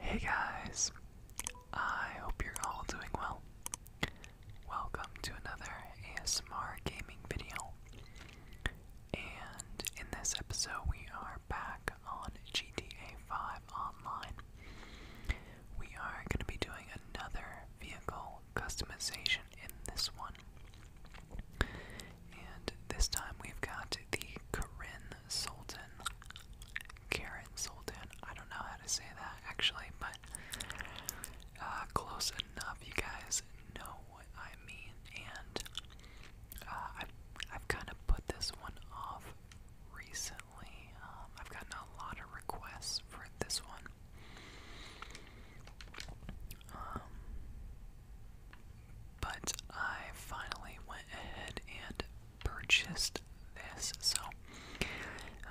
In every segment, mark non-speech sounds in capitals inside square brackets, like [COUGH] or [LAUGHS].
Hey guys, I hope you're all doing well. Welcome to another ASMR gaming video. And in this episode, we are back on GTA 5 Online. We are going to be doing another vehicle customization in this one. And this time we've got the Karin Sultan. Karen Sultan. I don't know how to say that actually, but uh, close enough. You guys know what I mean. And uh, I've, I've kind of put this one off recently. Um, I've gotten a lot of requests for this one. Um, but I finally went ahead and purchased this, so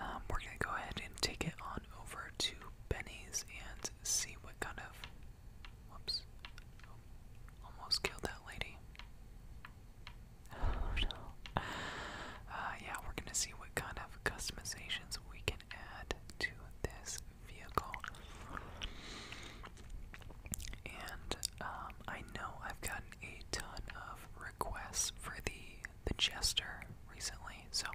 um, we're gonna go ahead and take it on over to Benny's and see what kind of. Whoops! Almost killed that lady. [SIGHS] Oh, uh, yeah, we're gonna see what kind of customizations we can add to this vehicle. And um, I know I've gotten a ton of requests for the the Jester recently, so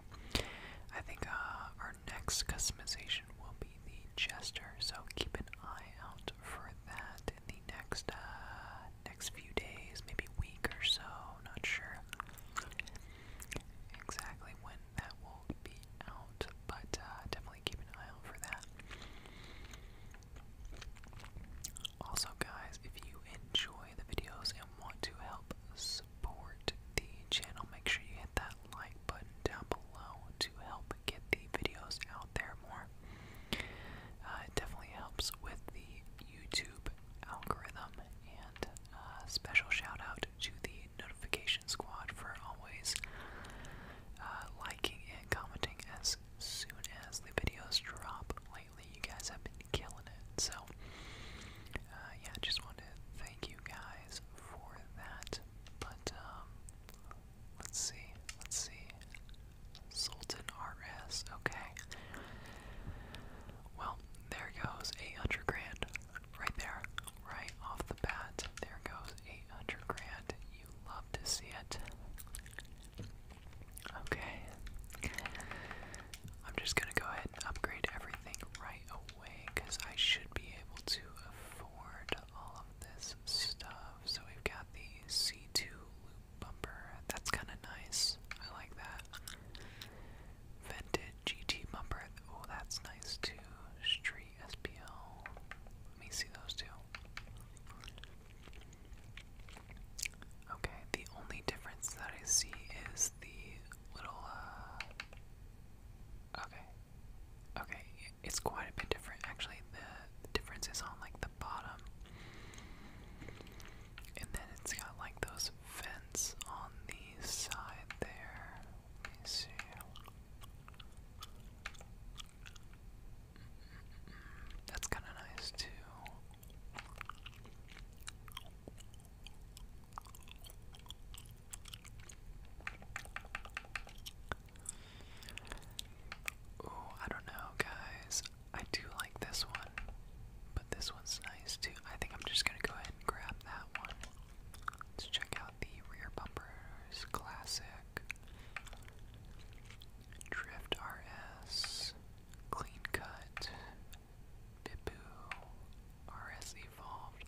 I think uh, our next customization will be the Jester. So keep an eye out for that in the next uh, next few days, maybe week or so. Not sure exactly when that will be out, but uh, definitely keep an eye out for that. Also, guys, if you enjoy the videos and want to help support the channel, make sure you hit that like button down below to help get the videos out there more. Uh, it definitely helps with the YouTube algorithm, and uh, special shout out to the notification squad for always uh, liking and commenting as soon as the videos drop. Lately, you guys have been killing it. So, uh, yeah, just wanted to thank you guys for that. But um, let's see, let's see. Sultan RS, okay. Well, there goes 800 grand. Right there. Right off the bat. There goes 800 grand. You love to see it. Okay. I'm just gonna go ahead and upgrade everything right away because I should be able to afford all of this stuff. So we've got the C2 loop bumper. That's kind of nice. I like that. Vented GT bumper. Oh, that's nice too. Street SPL. Let me see those two. Okay, the only difference that I see is the little, uh, Okay. Okay, it's quite a bit different. Actually, the difference is on like the bottom. And then it's got like those vents on the side there. see. That's kind of nice too. Ooh, I don't know, guys. I do like this one, but this one's nice too. I think I'm just gonna go ahead grab that one. Let's check out the rear bumpers classic. Drift RS, Clean Cut, Bibu, RS Evolved.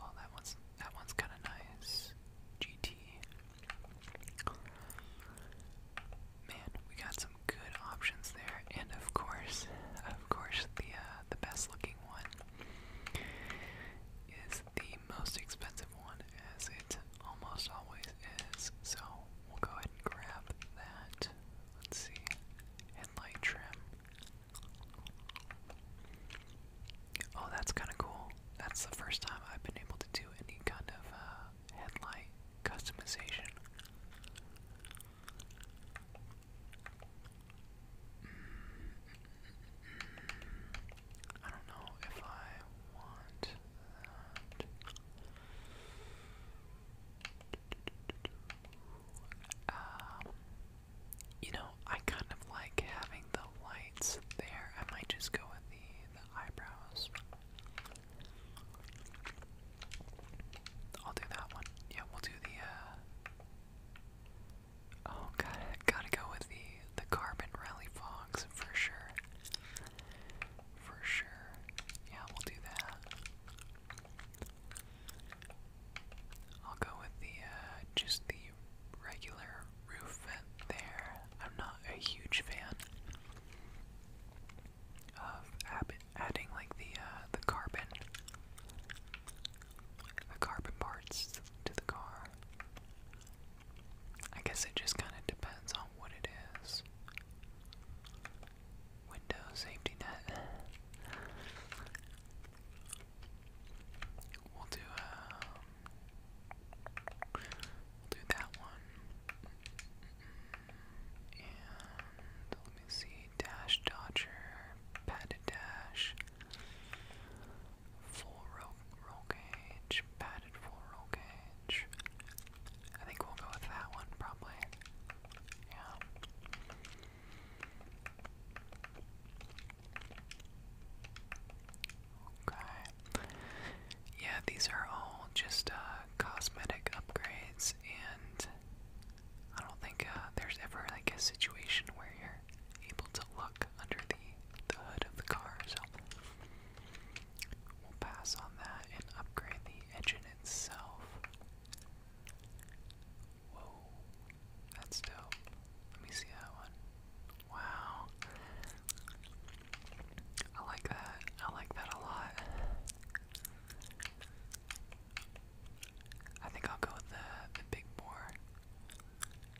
Oh, that one's that one's kind of nice. GT. Man, we got some good options there, and of course, of course, the uh, the best looking one is the most expensive one, as it almost always is. So we'll go ahead and grab that. Let's see, headlight trim. Oh, that's kind of cool. That's the first time I've been able to do any kind of uh, headlight customization. I don't know if I want um, you know, I kind of like having the lights there. I might just go with the the eyebrows. I'll do that one. Yeah, we'll do the. Uh... Oh, got gotta go with the the carbon rally fogs for sure. For sure. Yeah, we'll do that. I'll go with the uh, just the regular roof there. I'm not a huge fan of adding like the uh, the carbon, the carbon parts to the car. I guess it just kind of depends on what it is. Window safety net. We'll do um, do that one, and let me see. Dodger, Padded Dash, Full Roll, Cage, Padded Full Roll Cage. I think we'll go with that one probably. Yeah. Okay. Yeah, these are all just uh, cosmetic upgrades and I don't think uh, there's ever like a situation where you're able to look under the, the hood of the car, so we'll pass on that and upgrade the engine itself. Whoa, that's dope. Let me see that one. Wow. I like that. I like that a lot. I think I'll go with the, the big bore.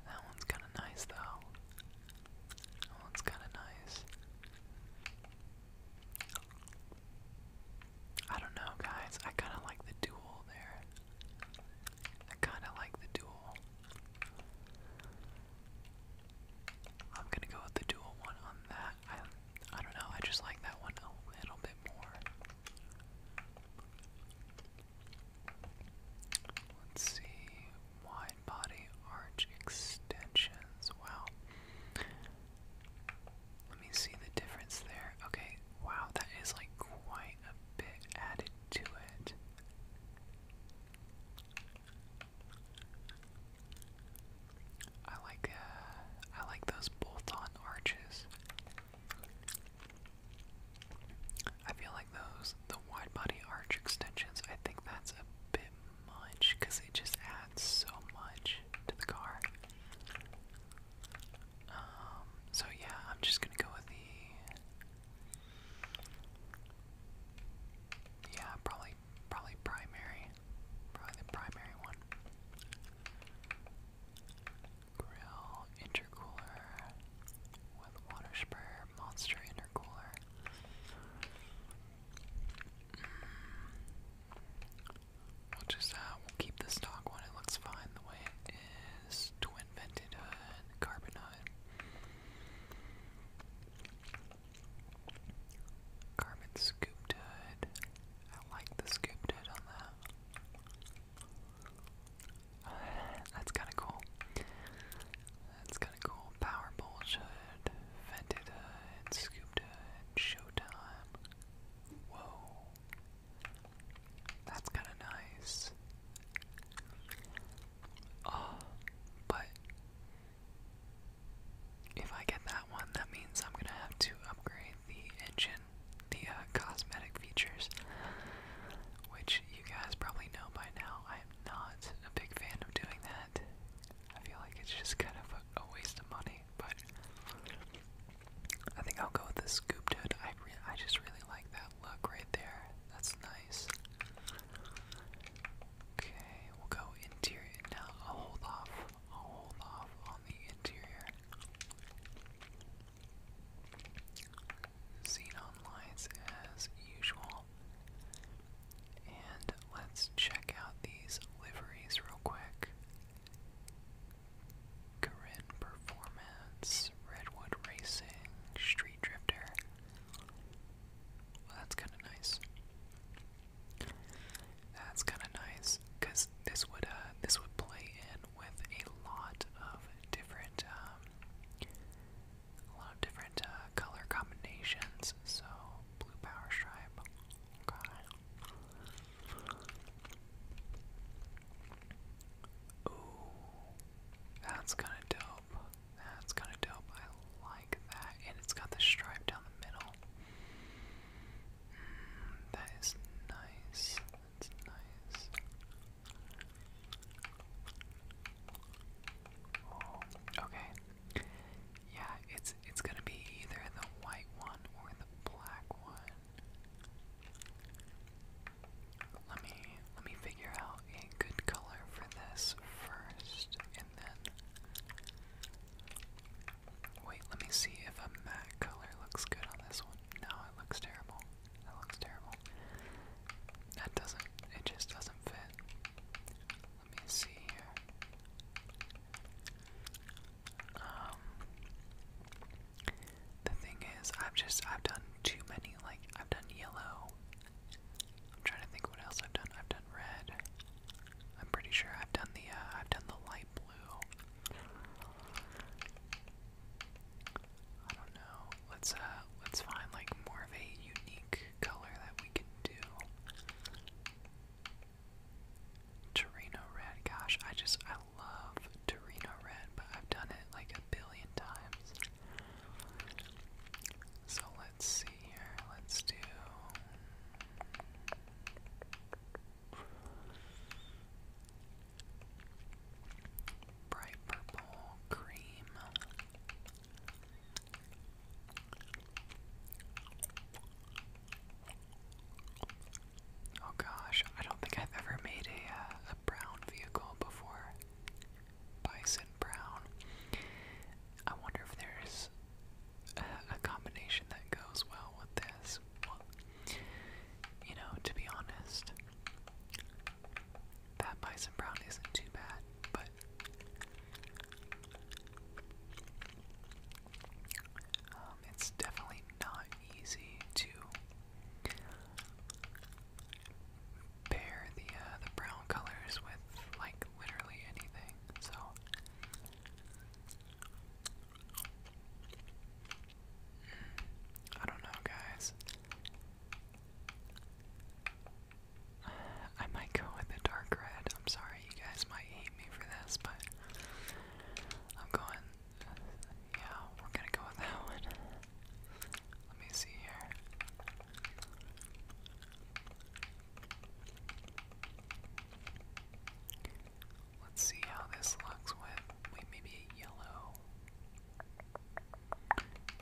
That one's kind of nice, though. That one's kind of nice. I don't know, guys. I kind of like the duel there. I kind of like the duel. I'm gonna go with the dual one on that. I, I don't know. I just like that one a little bit more. see. Wide body arch extensions. Wow. Let me see the difference there. Okay. Wow, that is like quite a bit added to it. I like uh, I like those bolt-on arches. I feel like those the wide body arch extensions. I think that's a bit much because they just add so much to the car. Um, so yeah, I'm just gonna go with the yeah, probably probably primary, probably the primary one grill intercooler with water sprayer monster intercooler. Mm. We'll just uh, keep the stock one. It looks fine the way it is. Twin vented hood, carbon hood. Carbon scooped hood. I like the scooped hood on that. That's kinda cool. That's kinda cool. Power Bullshit, Vented Hood, Showtime. Whoa. That's kinda nice. Oh, but if I get that one, that means I'm gonna have to upgrade the engine the uh, cosmetic features, which you guys probably know by now. I am not a big fan of doing that. I feel like it's just kind of a, waste of money, but I think I'll go with the scooped hood. I, re I just really like that look right there. That's nice. Okay, we'll go interior. Now I'll hold off hold off on the interior. Xenon lights as usual. And let's check out these liveries real quick. Corinne Performance, Redwood Racing, Street Drifter. Well, that's kind of nice. That's kind of nice because this would uh, this would play in with a lot of different um, a lot of different uh, color combinations. So blue power stripe. Okay. that's kind of dope. That's kind of dope. I like that, and it's got the stripe down the middle that is nice. That's nice. okay. Yeah, it's it's gonna be either the white one or the black one. Let me let me figure out a good color for this first, and then Wait, let me see if a matte color looks good on this one. No, it looks terrible. That looks terrible. That doesn't, it just doesn't fit. Let me see here. Um, the thing is, I've just, I've done too many, like, I've done yellow. I'm trying to think what else I've done. I've done red. I'm pretty sure I've done the, uh, I've done the light blue. I don't know. Let's uh let's find like more of a unique color that we can do. Torino red. Gosh, I just I love Torino red, but I've done it like a billion times. So let's see here. Let's do Bright purple, cream. Oh gosh, I don't think I've ever made a, uh, a brown vehicle before. Bison brown. I wonder if there's a, combination that goes well with this. You know, to be honest, that bison brown isn't too bad, but um, it's definitely not easy to pair the uh, the brown colors with like literally anything. So I don't know, guys. I might go with the dark red. I'm sorry, you guys might hate me for this, but I'm going. Yeah, we're gonna go with that one. Let me see here. Let's see how this looks with maybe yellow.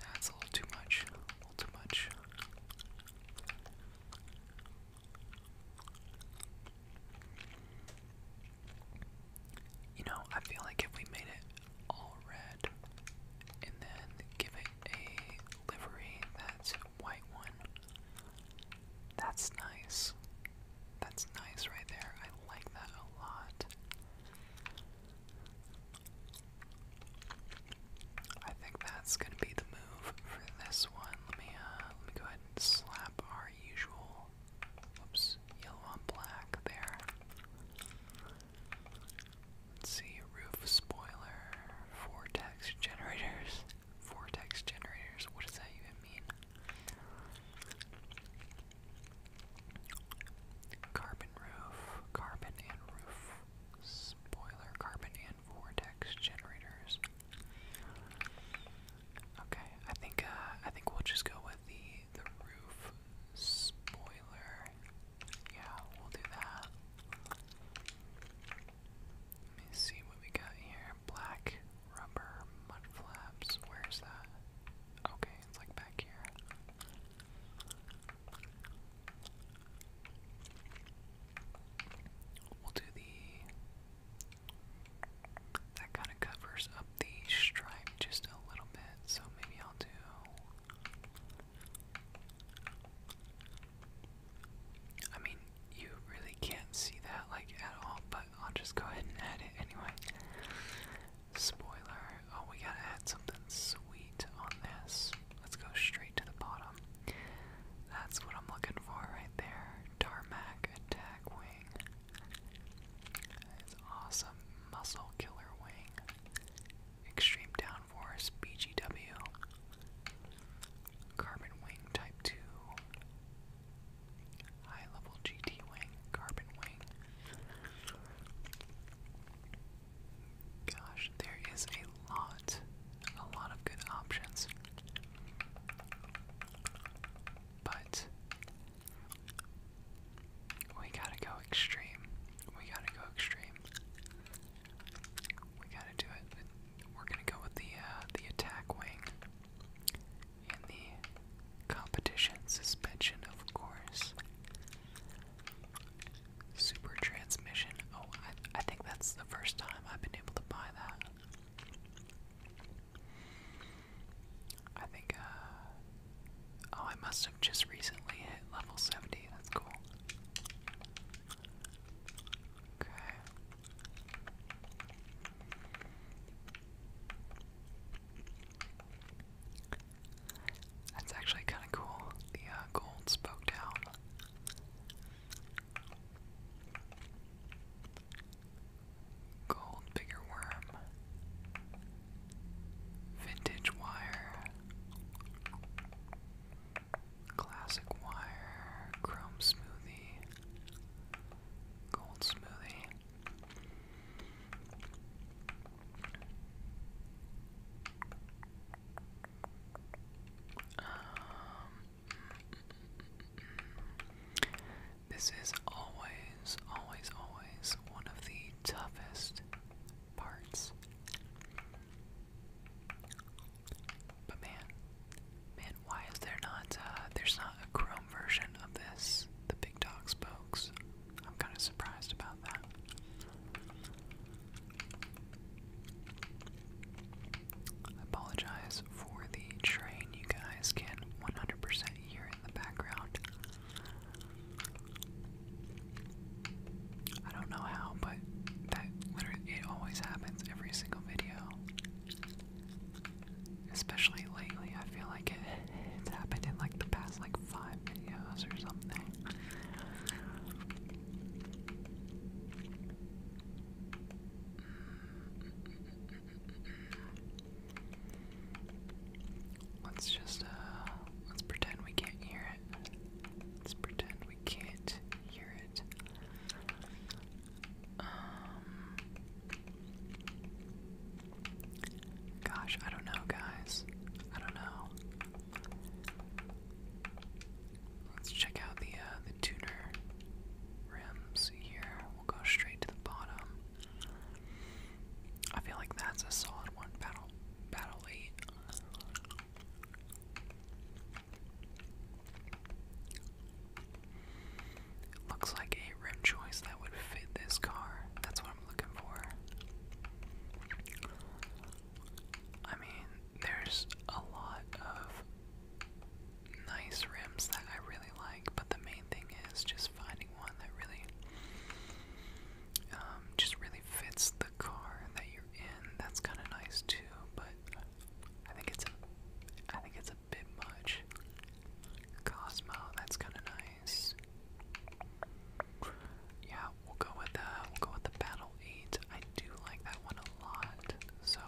That's a little too much. A little too much. You know, I feel like if we made it all red and then give it a livery that's white one, that's nice. That's nice right there. I like that a lot. I think that's gonna be the move for this one. Let me uh, let me go ahead and slap our usual oops, yellow on black there. Let's see, roof spoiler, four generators. Four [LAUGHS] generators, what that even Carbon roof, carbon and roof spoiler, carbon and vortex generators. Okay, I think uh, I think we'll just go with the the roof spoiler. Yeah, we'll do that. Let me see what we got here. Black rubber mud flaps. Where's that? Okay, it's like back here. We'll do the. That kind of covers up the stripe just a little bit, so maybe I'll do. I mean, you really can't see that like at all, but I'll just go ahead and add it anyway. Spoiler. Oh, we gotta add something sweet on this. Let's go straight to the bottom. That's what I'm looking for right there. Tarmac attack wing. It's awesome. Muscle killer wing. Extreme downforce. BGW. Carbon wing type 2. High level GT wing, carbon wing. Gosh, there is a lot, a lot of good options. But we gotta go extreme. We gotta go extreme. We gotta do it. We're gonna go with the uh, the attack wing and the competition suspension, of course. Super transmission. Oh, I, I think that's the first time I've been able to buy that. I think, uh, Oh, I must have just recently hit level 70. That's cool. Okay. That's actually kind of cool. The uh, gold spoke down. Gold bigger worm. Vintage wire. Classic wire. Chrome smoothie. Gold smoothie. Um, this is always, always, always one of the toughest parts. But man, man, why is there not? Uh, there's not a Chrome version of this the big dog spokes. I'm kind of surprised about that. I apologize for the train you guys can 100 hear in the background. I don't know how, but that literally it always happens every single video especially lately. I feel like it, it's happened in like the past like five videos or something. Let's just uh, let's pretend we can't hear it. Let's pretend we can't hear it. Um Gosh, I don't know, guys. I don't know. Let's check out the uh, the tuner rims here. We'll go straight to the bottom. I feel like that's a solid one. Battle, battle eight. Looks like a rim choice that would fit this car. That's what I'm looking for. I mean, there's a lot of nice rims that I really like, but the main thing is just finding one that really um, just really fits the car that you're in. That's kind of nice too, but I think it's a I think it's a bit much. Cosmo, that's kind of yeah, we'll go with the uh, we'll go with the battle eight. I do like that one a lot. So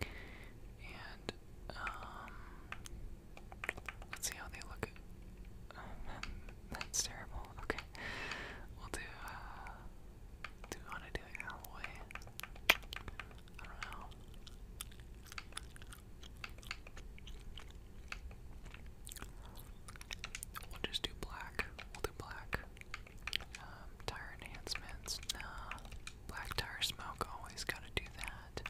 and um, let's see how they look. [LAUGHS] that's terrible. Okay. We'll do we uh, wanna do alloy? I don't know. We'll just do black. We'll do black. Um, tire enhancements. Black tire smoke. Always gotta do that.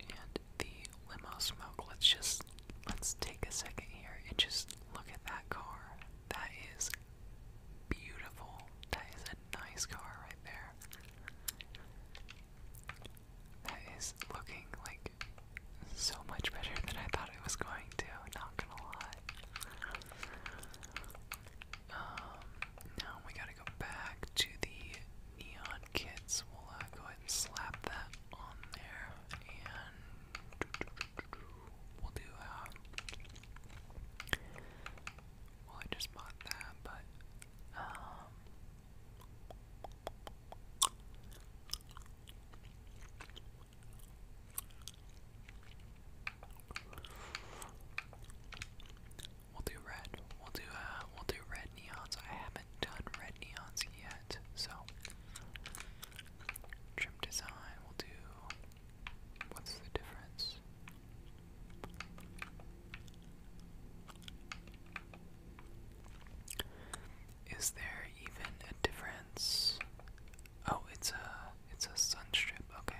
And the limo smoke. Let's just let's take a second here and just look at that car. That is beautiful. That is nice car right there. That is looking like so much better than I thought it was going to, not gonna lie. Um, now we gotta go back to the neon kits. We'll uh, go ahead and slap that on there, and we'll do, uh, well, I just bought that, but um, we'll do red. We'll do uh, we'll do red neons. I haven't done red neons yet, so trim design. We'll do. What's the difference? Is there even a difference? Oh, it's a it's a sun Okay.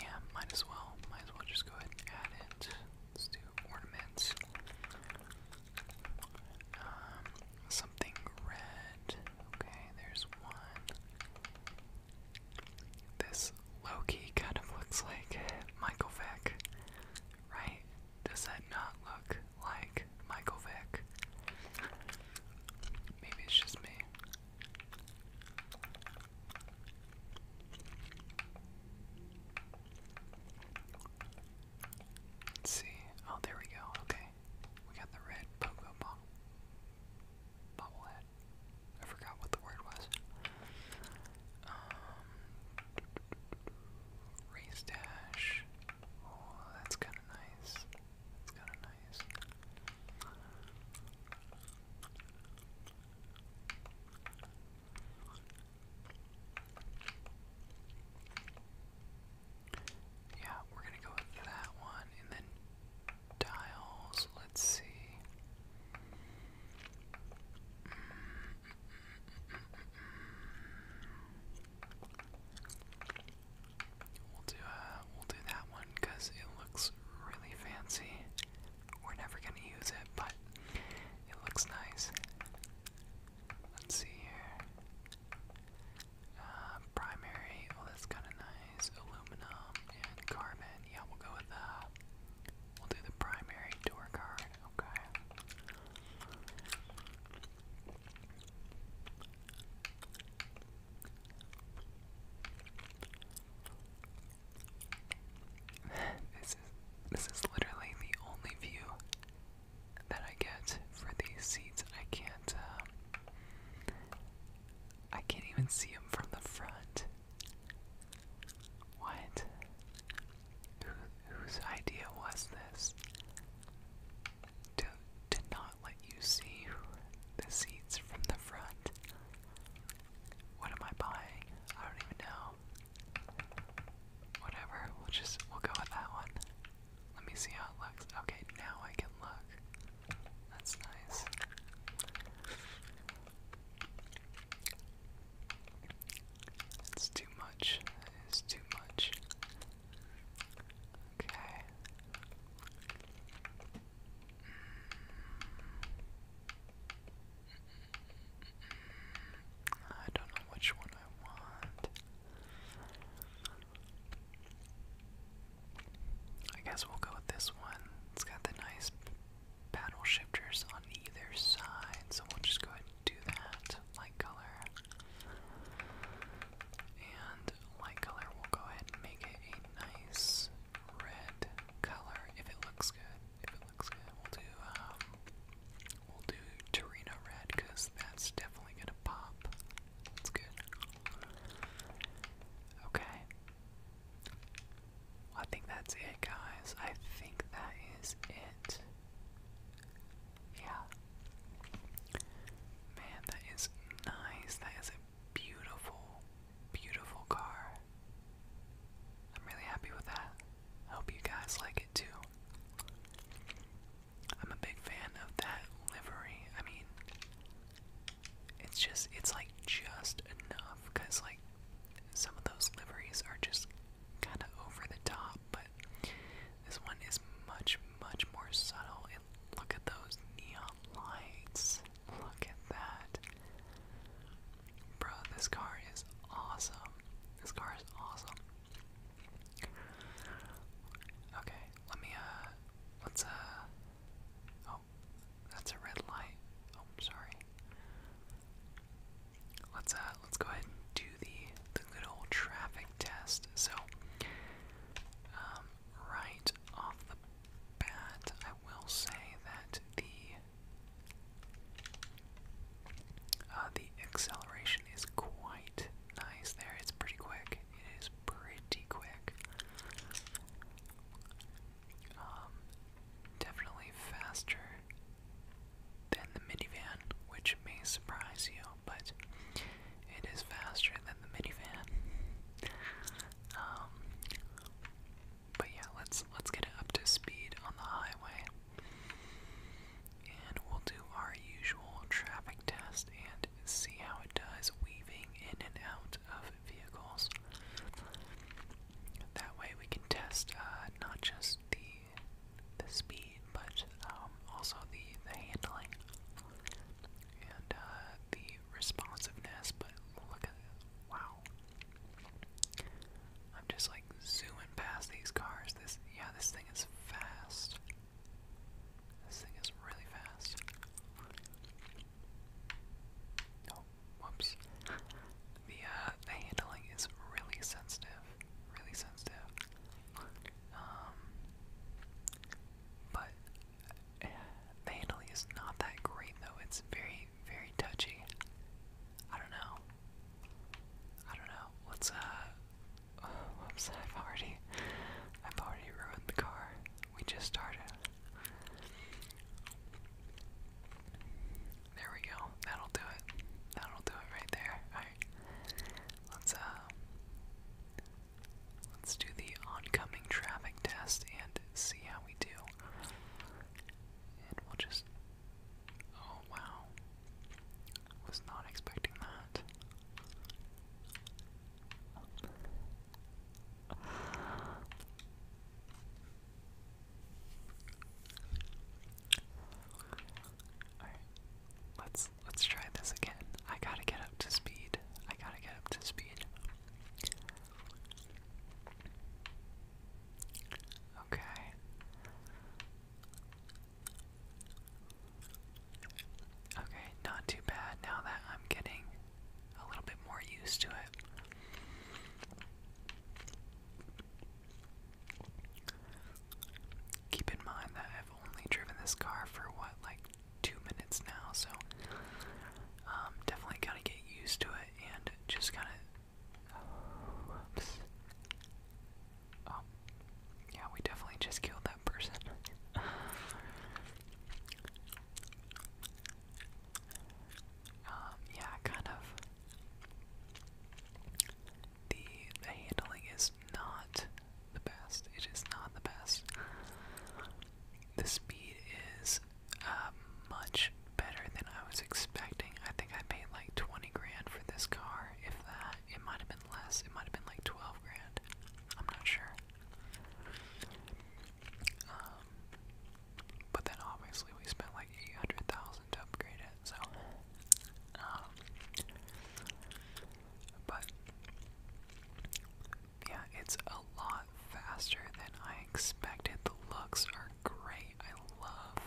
Yeah, might as well. Might as well just go ahead and add it. Let's do ornaments. Um, something red. Okay, there's one. This Loki kind of looks like Michael Vick, right? Does that not look like Michael Vick? Maybe it's just me. see. Oh, there we go. Okay. We got the red pogo ball. I forgot what the word was. Um, race dash. Oh, that's kind of nice. That's kind of nice. Yeah, we're gonna go with that one, and then dials. Let's see. Uh, we'll do that one because it looks really fancy. We're never gonna use it, but it looks nice. Let's see here. Uh, primary, oh that's kinda nice. Aluminum and carbon yeah, we'll go with the. We'll do the primary tour card, okay? [LAUGHS] this is this is literally the only view that I get for these seats. I can't uh, I can't even see them from the front. What? Who, whose idea was this? To, to not let you see the seats from the front? What am I buying? I don't even know. Whatever, we'll just, we'll go with that one. Let me see how it looks. Okay, now I can look. That's nice. It's too much. It's too much. Okay. I don't know which one I want. I guess we'll go with this one. It's got nice paddle shifters on either side, so we'll just go ahead and do that. Light color. And light color, we'll go ahead and make it a nice red color if it looks good. If it looks good, we'll do, um, we'll do Torino red because that's definitely gonna pop. That's good. Okay. I think that's it, guys. I think that is it. Yeah. Man, that is nice. That is a beautiful, beautiful car. I'm really happy with that. hope you guys like it too. I'm a big fan of that livery. I mean, it's just, it's like just enough because, like, some of those liveries are just kind of over the top, but this one is much, much more subtle. And look at those neon lights. Look at that. Bro, this car is awesome. This car is awesome. Okay, let me, uh, let uh, oh, that's a red light. Oh, sorry. Let's uh, let's go ahead and do the the good old traffic test. So, um, right off the bat, I will say that the uh, the acceleration is quite nice. There, it's pretty quick. It is pretty quick. Um, definitely faster than the minivan, which may surprise you, but it is faster than the minivan. Um, but yeah, let's let's get it up to speed on the highway, and we'll do our usual traffic test and see how it does weaving in and out of vehicles. That way we can test uh, not just the the speed, but um, also the the handling and uh, the responsiveness. But look at wow! I'm just like zooming past these cars. This yeah, this thing is fast. This thing is really fast whoops. The uh, the handling is really sensitive, really sensitive. Um, but [SIGHS] the handling is not that great though. It's very, very touchy. I don't know. I don't know. let uh, [SIGHS] whoops. I've already, I've already ruined the car. We just started. There we go. That'll do it. That'll do it right there. Alright. Let's uh let's do the oncoming traffic test and see how we do. And we'll just Oh wow. Was not expecting that. Let's let's try this again. I gotta get up to speed. I gotta get up to speed. Okay. Okay, not too bad now that I'm getting a little bit more used to it. Keep in mind that I've only driven this car for what, like two minutes now, so um, definitely gotta get used to it and just kind of. Oh, yeah, we definitely just killed that person. Um, yeah, kind of. The, the handling is not the best. It is not the best. The speed is uh, much better than I was expecting. I think I paid like 20 grand for this car, if that. It might have been less. It might have been like 12 grand. I'm not sure. Um, but then obviously we spent like 800,000 to upgrade it, so um, but yeah, it's a lot faster than I expected. The looks are great. I love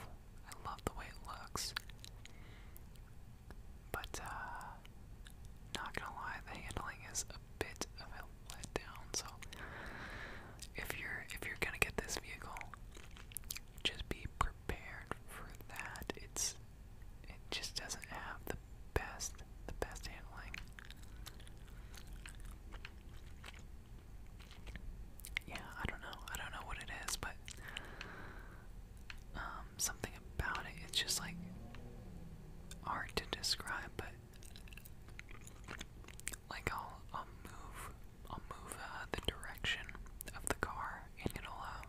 I love the way it looks. But uh not gonna lie, the handling is a bit of a letdown, so if you're if you're gonna get this vehicle, just be prepared for that. It's it just doesn't have the best the best handling. Yeah, I don't know. I don't know what it is, but um, something about it. It's just like hard to describe, but like I'll I'll move I'll move uh, the direction of the car and it'll um,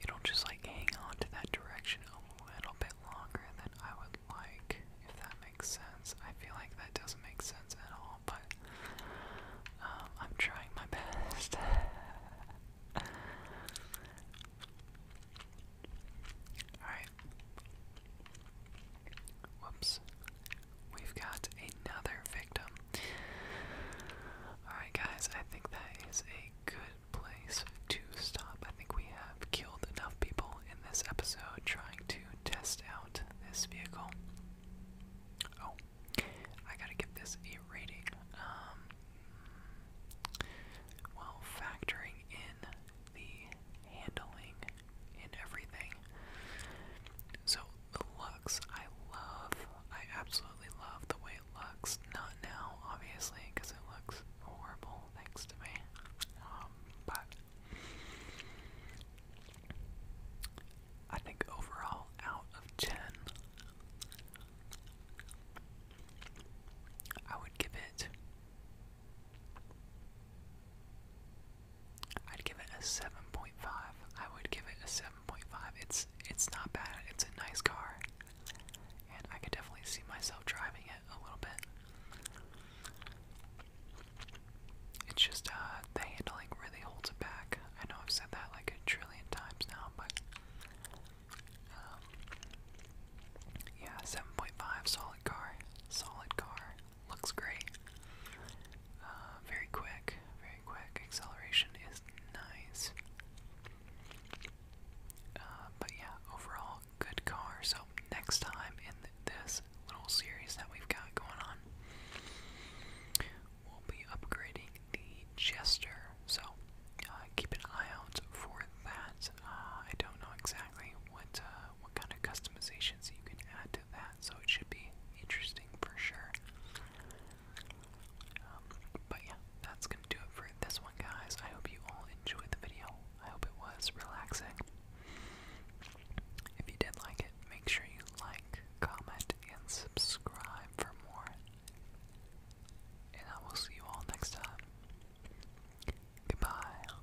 it'll just like hang on to that direction a little bit longer than I would like if that makes sense. I feel like that doesn't make sense at all, but um, I'm trying my best. [LAUGHS] Alright, Whoops. We've got another victim. Alright, guys, I think that is a good place to stop. I think we have killed enough people in this episode trying to test out this vehicle. Oh, I gotta give this a rating. Um, factoring in the handling and everything. So the looks I love. I absolutely love the way it looks. Not now, obviously, because it looks horrible thanks to me. Um, but I think overall, out of 10, I would give it I'd give it a 7.5. I would give it a 7.5. It's it's not bad. It's a nice car. And I could definitely see myself driving it a little bit. It's just uh the handling really holds it back. I know I've said that like a trillion times now, but um, yeah, 7.5 solid car. Solid car looks great. Uh, very quick, very quick. Acceleration is nice. Uh, but yeah, overall, good car. So, next time in this little series that we've got going on, we'll be upgrading the Jester. So, uh, keep an eye out for that. I don't know exactly what, kind of customizations you can add to that, so it should be interesting for sure. Um, but yeah, that's gonna do it for this one, guys. I hope you all enjoyed the video. I hope it was relaxing. If you did like it, make sure you like, comment, and subscribe for more. And I will see you all next time. Goodbye.